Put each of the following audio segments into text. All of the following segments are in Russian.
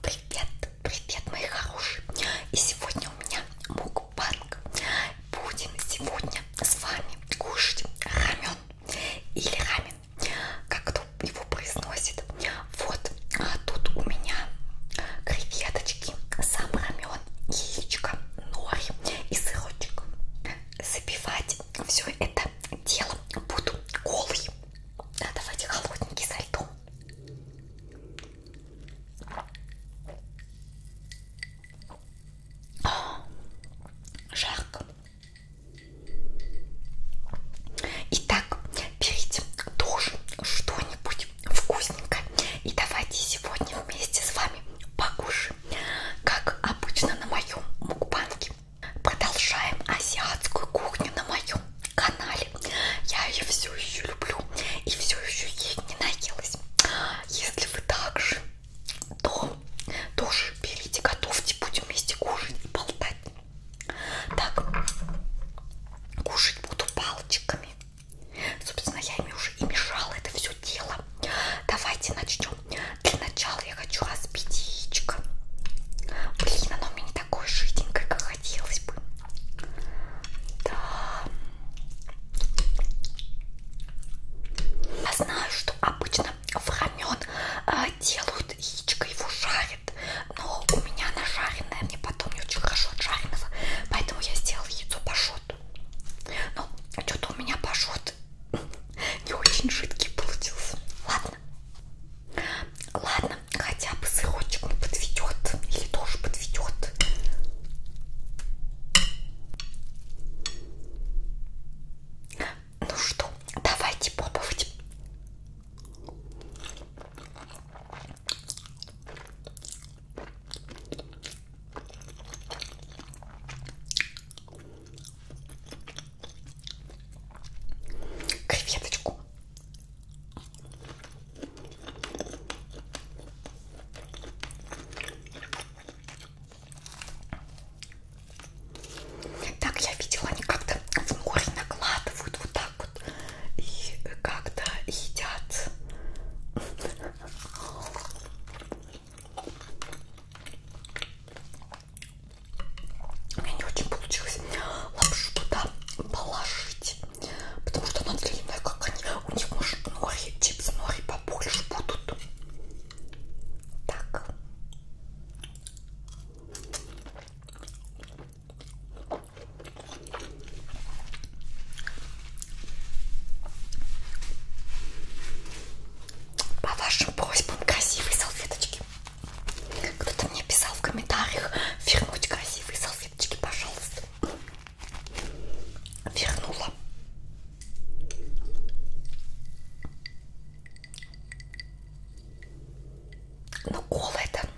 Привет, привет, мои хорошие! И сегодня у меня мукбанг. Будем сегодня с вами кушать рамен или рамен, как кто его произносит. Вот а тут у меня креветочки, сам рамен, яичко, нори и сырочек. Запивать все это дело буду голый. Да, давайте холодненький со льдом. Жарко. Итак, берите тоже что-нибудь вкусненькое. И давайте сегодня вместе с вами покушаем, как обычно на моем мукбанке. Продолжаем азиатскую кухню на моем канале. Я ее все еще люблю и все еще ей не наелась. Если вы так же, то тоже берите, готовьте, будем вместе кушать и болтать. Так, кушать буду палочками. Собственно, я ими уже и мешала это все дело. Давайте начнем. Для начала я хочу разбить яичко. Блин, оно у меня не такое жиденькое, как хотелось бы. Да. Я знаю, что обычно в рамен э, делают яичко, его жарят, но у меня она жареная, мне потом не очень хорошо от жареного, поэтому я сделала яйцо пашот. Но ну, что-то у меня пашот не очень жидкий получился. Ладно, ладно. Ладно, хотя бы сырочек он подведет. Или тоже подведет. Ну что, давайте пробовать. Креветочку так, я видела, они как-то в море накладывают вот так вот и как-то едят. У меня не очень получилось лапшу туда положить, потому что она длинная, как они. У них, может, нори, чипсы нори побольше будут. Так. По вашим просьбам красивые салфеточки. Кто-то мне писал в комментариях вернуть красивые салфеточки, пожалуйста. Вернула. Ну, кола это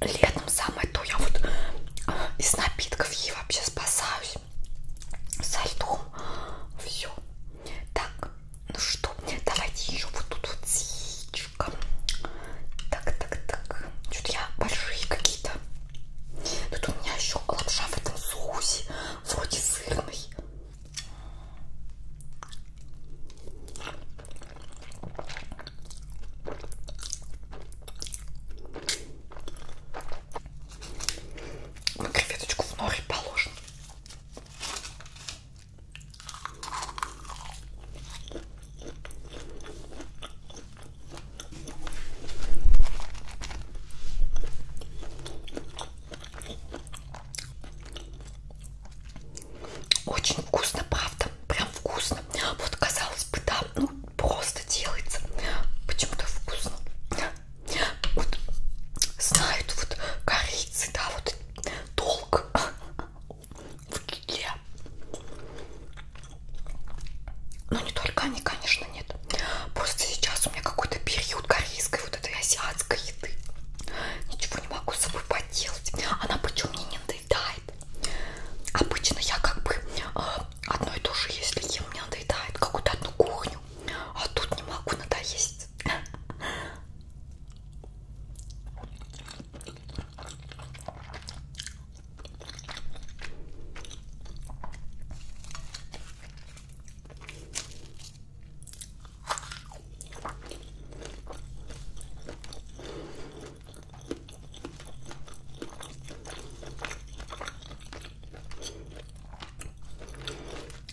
летом самое то. Я вот э, из напитков ей вообще спасаюсь. Со льдом. Все. Так, ну что, давайте еще вот тут вот яичком. Так, так, так. Что-то я большие какие-то. Тут у меня еще лапша в этом соусе. Вроде сырный. На креветочку в норе положим. Очень вкусно, правда прям вкусно. Вот казалось бы, да, ну просто делается. Почему-то вкусно. Вот знают вот корицы, да, вот толк в китле. Но не только они, конечно, нет. Просто сейчас у меня какой-то период корейской вот этой азиатской еды. Ничего не могу с собой поделать. Она причем мне не надоедает. Обычно я как бы а, одно и то же, если ем, мне надоедает какую-то одну кухню, а тут не могу надоесть.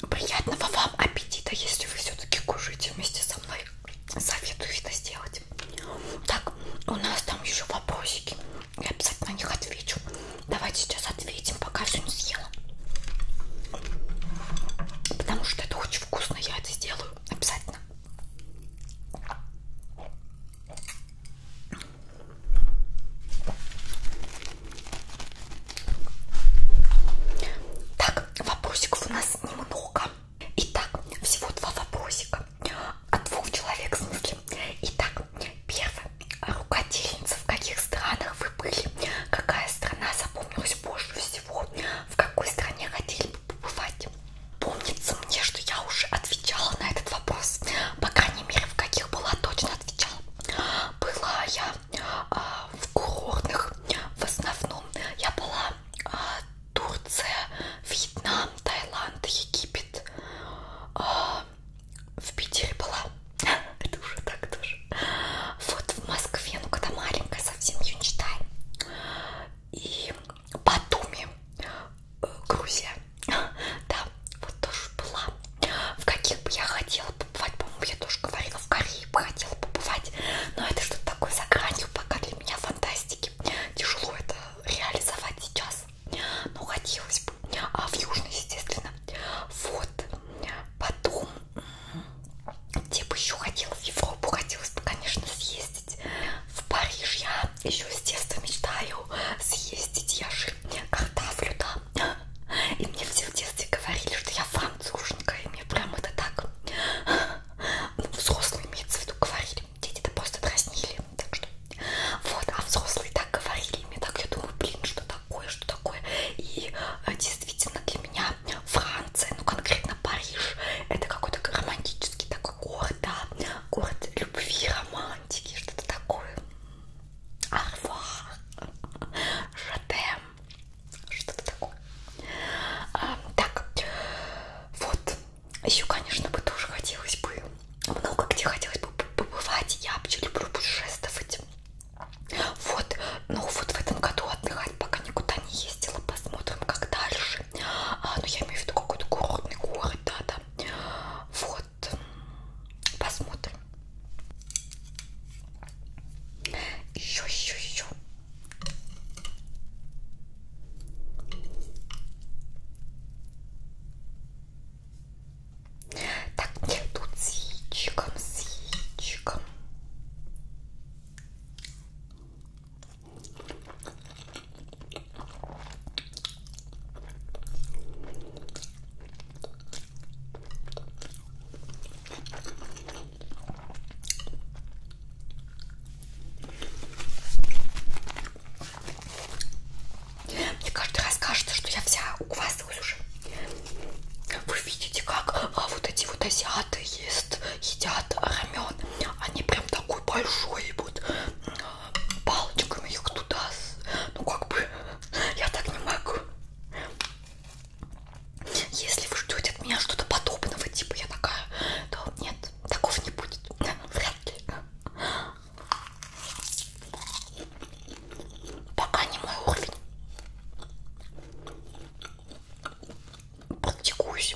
Приятного вам аппетита, если вы все-таки кушаете вместе со мной. Советую это сделать. Так, у нас там еще вопросики. Я обязательно на них отвечу. Давайте сейчас ответим, пока все не съела. Потому что это очень вкусно, я это сделаю обязательно. Так, вопросиков у нас немного. Итак, всего два вопросика от двух человек в смысле. Итак, первый. А Рукодельница, в каких странах вы были? Какая страна запомнилась больше всего? В какой стране ходили побывать. Помнится мне, что я уже отвечала на этот вопрос. По крайней мере, в каких была, точно отвечала. Была я а, в курортных, в основном я была а, Турция, Вьетнам, Таиланд, Египет. А, в Питере была. Это уже так тоже. Вот в Москве, ну когда маленькая, совсем ее не читаю. И Батуми, э, Грузия. Да, вот тоже была. В каких бы я хотела побывать, по-моему, я тоже говорила, в Корее бы хотела побывать. Но это что-то такое за гранью, пока для меня фантастики. Тяжело это реализовать сейчас. Но хотелось бы. А в Южной, естественно. Вот. Потом, где бы еще хотела, в Европу хотелось бы, конечно, съездить. В Париж я еще с детства мечтаю съездить, я же картавлю, да. И мне все в детстве говорили, что я француженка, и мне прям это так, ну, взрослые имеется в виду, говорили, дети-то просто дразнили, так что, вот, а взрослые так говорили, мне так, я думаю, блин, что такое, что такое, и э, действительно для меня Франция, ну, конкретно Париж, это какой-то романтический такой город, город, да, город любви, романтики, что-то такое. Арфа, Шатем, что-то такое. А, так, вот, еще, конечно, бы тоже хотелось бы, много где хотелось бы побывать, я вообще люблю путешествовать. Вот, ну вот в этом году отдыхать пока никуда не ездила, посмотрим, как дальше. А, ну я имею в виду какой-то курортный город, да, да, вот. Посмотрим. Еще, еще, еще. Так, нет, тут с яичком, с яичком. Мне каждый раз кажется, что я вся уквасилась уже. Вы видите, как а вот эти вот азиаты ест, едят рамен. Они прям такой большой вот палочками их туда. Ну как бы я так не могу. Если вы ждете от меня что-то подобного, типа я такая, то нет, такого не будет. Вряд ли. Пока не мой уровень. Практикуюсь.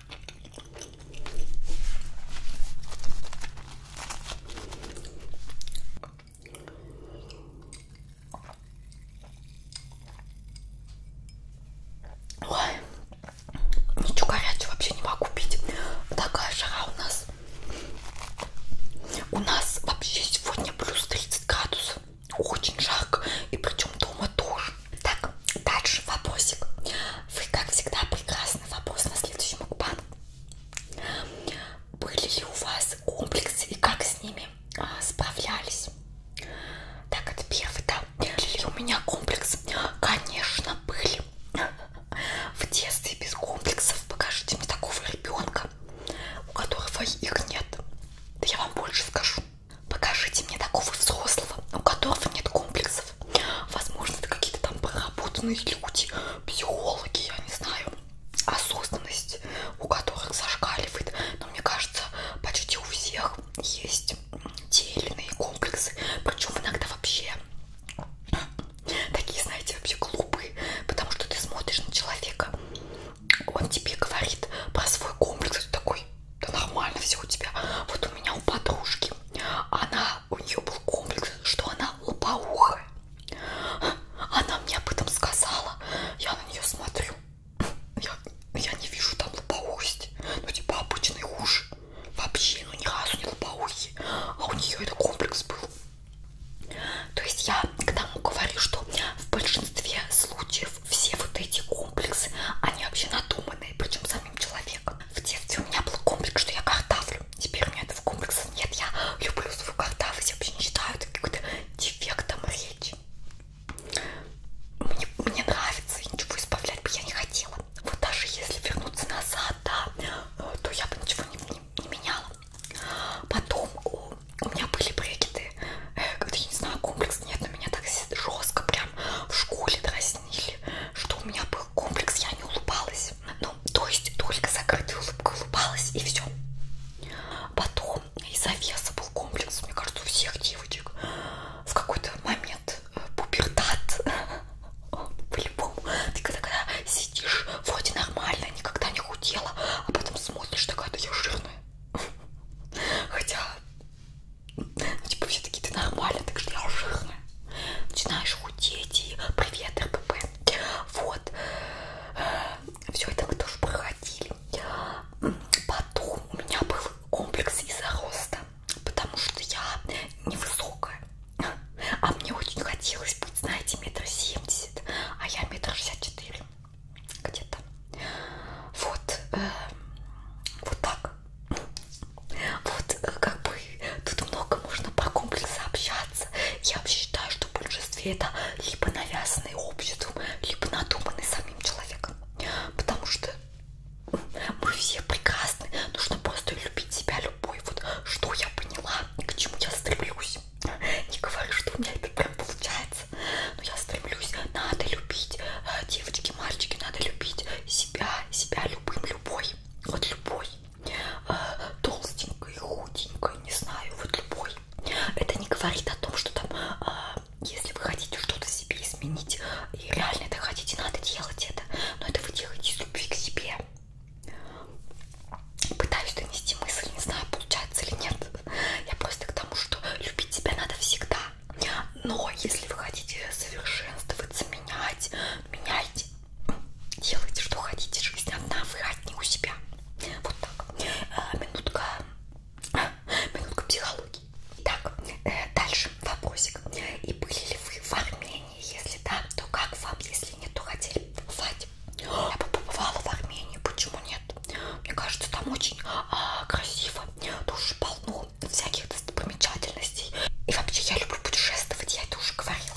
Ой, ничего горячего вообще не могу пить. Такая жара у нас. У нас вообще сегодня плюс 30 градусов. Очень жарко. И причем дома тоже. Так, дальше вопросик. Вы, как всегда, прекрасно Соответственно, вопрос на следующем мукбан. Были ли у вас комплексы и как с ними а, справлялись? Так, это первый, да. Были ли у меня комплексы? Конечно, были. В детстве без комплексов покажите мне такого ребенка, у которого их нет. Да я вам больше скажу. Покажите мне такого взрослого, у которого нет комплексов процессов. Возможно, это какие-то там проработанные люди, психологи, я не знаю, осознанность, у которых зашкаливает. Но мне кажется, почти у всех есть те или иные комплексы, причем иногда вообще такие, знаете, вообще глупые, потому что ты смотришь на человека, он тебе говорит про свой комплекс, ты такой, да нормально все у тебя, вот у меня у подружки она, у нее был комплекс, что она лопоухая. Она мне об этом сказала. Я на нее смотрю. Я, я не вижу там лопоухости. Ну, типа обычный уж. Вообще, ну ни разу не лопоухи. А у нее это комплекс был. То есть я к тому говорю, что в большинстве случаев все вот эти комплексы, они вообще надуманные, причем самим человеком. В детстве у меня был комплекс, что я картавлю. Теперь у меня этого комплекса нет. Я люблю свою картавлюсь. Я вообще не считаю это какой-то дефектом речи. Мне, мне нравится, и ничего избавлять бы я не хотела. Вот даже если вернуться назад, да, э, то я бы ничего не, не, не меняла. Потом у, у меня были брекеты. Э, я не знаю, комплекс нет, но меня так жестко прям в школе дрались объяснили, что у меня был комплекс, я не улыбалась. Ну, то есть только закрытой улыбкой улыбалась и все. Потом из-за веса был комплекс, мне кажется, у всех девочек. В какой-то момент э, пубертат. По-любому. Ты когда, когда сидишь, вроде нормально, никогда не худела, а потом смотришь, такая, да я жирная. Хотя, ну, типа, все-таки ты нормально, так что я жирная начинаешь худеть и привет РПП. Вот. Все это мы тоже проходили. Потом у меня был комплекс из-за роста, потому что я невысокая. А мне очень хотелось быть, знаете, метр семьдесят, а я метр шестьдесят четыре где-то. Вот. Э, вот так. Вот э, как бы тут много можно по комплексу общаться. Я вообще считаю, что в большинстве это либо навязанные обществом, либо надуманные самим человеком. Потому что мы все прекрасны. Нужно просто любить себя любой. Вот что я поняла и к чему я стремлюсь. Не говорю, что у меня это прям получается. Но я стремлюсь. Надо любить. Э, девочки, мальчики, надо любить себя, себя любым, любой вот любой, а, толстенькой, худенькой, не знаю, вот любой. Это не говорит о том, что там, а, если вы хотите что-то себе изменить, и реально это хотите, надо делать это, но это вы делаете из любви к себе. Пытаюсь донести мысль, не знаю, получается или нет. Я просто к тому, что любить себя надо всегда. Но если вы хотите совершенствоваться, менять, меняйте, делайте, что хотите, жизнь одна, вы одни у себя. Вот так. Э, минутка, минутка психологии. Итак, э, дальше вопросик. И были ли вы в Армении? Если да, то как вам? Если нет, то хотели побывать. Я бы побывала в Армении, почему нет? Мне кажется, там очень а, красиво, тоже полно ну, всяких достопримечательностей. И вообще я люблю путешествовать, я это уже говорила.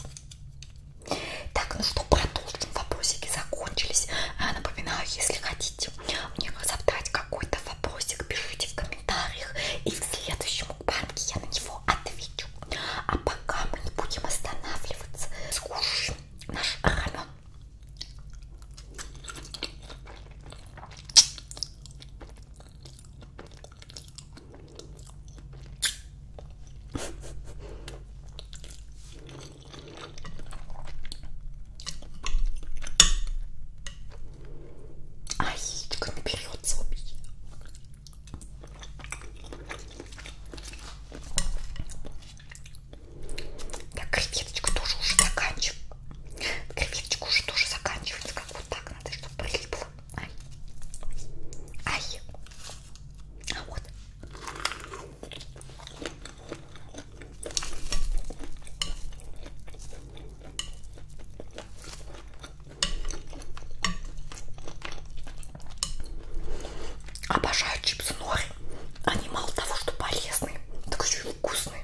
Так, ну что, продолжим. Вопросики закончились. А, напоминаю, если хотите мне задать какой-то вопросик, пишите в комментариях. И в следующем банке я на него отвечу. А пока мы не будем останавливаться, скушаем наш рамен. А яичко не берется убить. Так, креветочка тоже уже заканчивается. Креветочка уже тоже заканчивается. Как вот так надо, чтобы прилипло. Ай. Ай. А вот. Обожаю чипсы нори. Они мало того, что полезные, так еще и вкусные.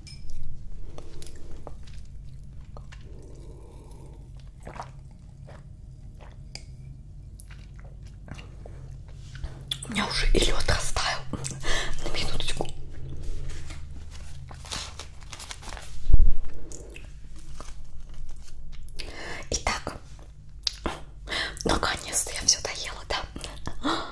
У меня уже и лед растаял. На минуточку. Итак, наконец-то я все доела, да?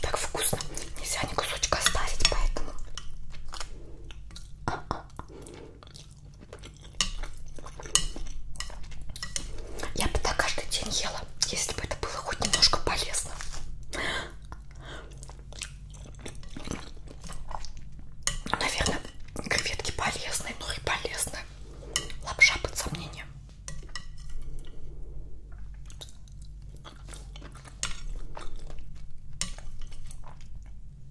Так вкусно. Нельзя ни кусочка оставить, поэтому... А -а -а. Я бы так каждый день ела, если бы это было хоть немножко полезно. Наверное, креветки полезны, но ну и полезны. Лапша под сомнением.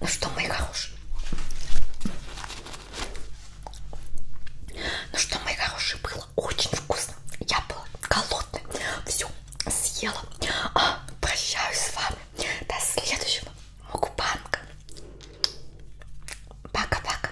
Ну что, мои хорошие? Ну что, мои хорошие, было очень вкусно. Я была голодная. Все съела. А, прощаюсь с вами. До следующего мукбанка. Пока-пока.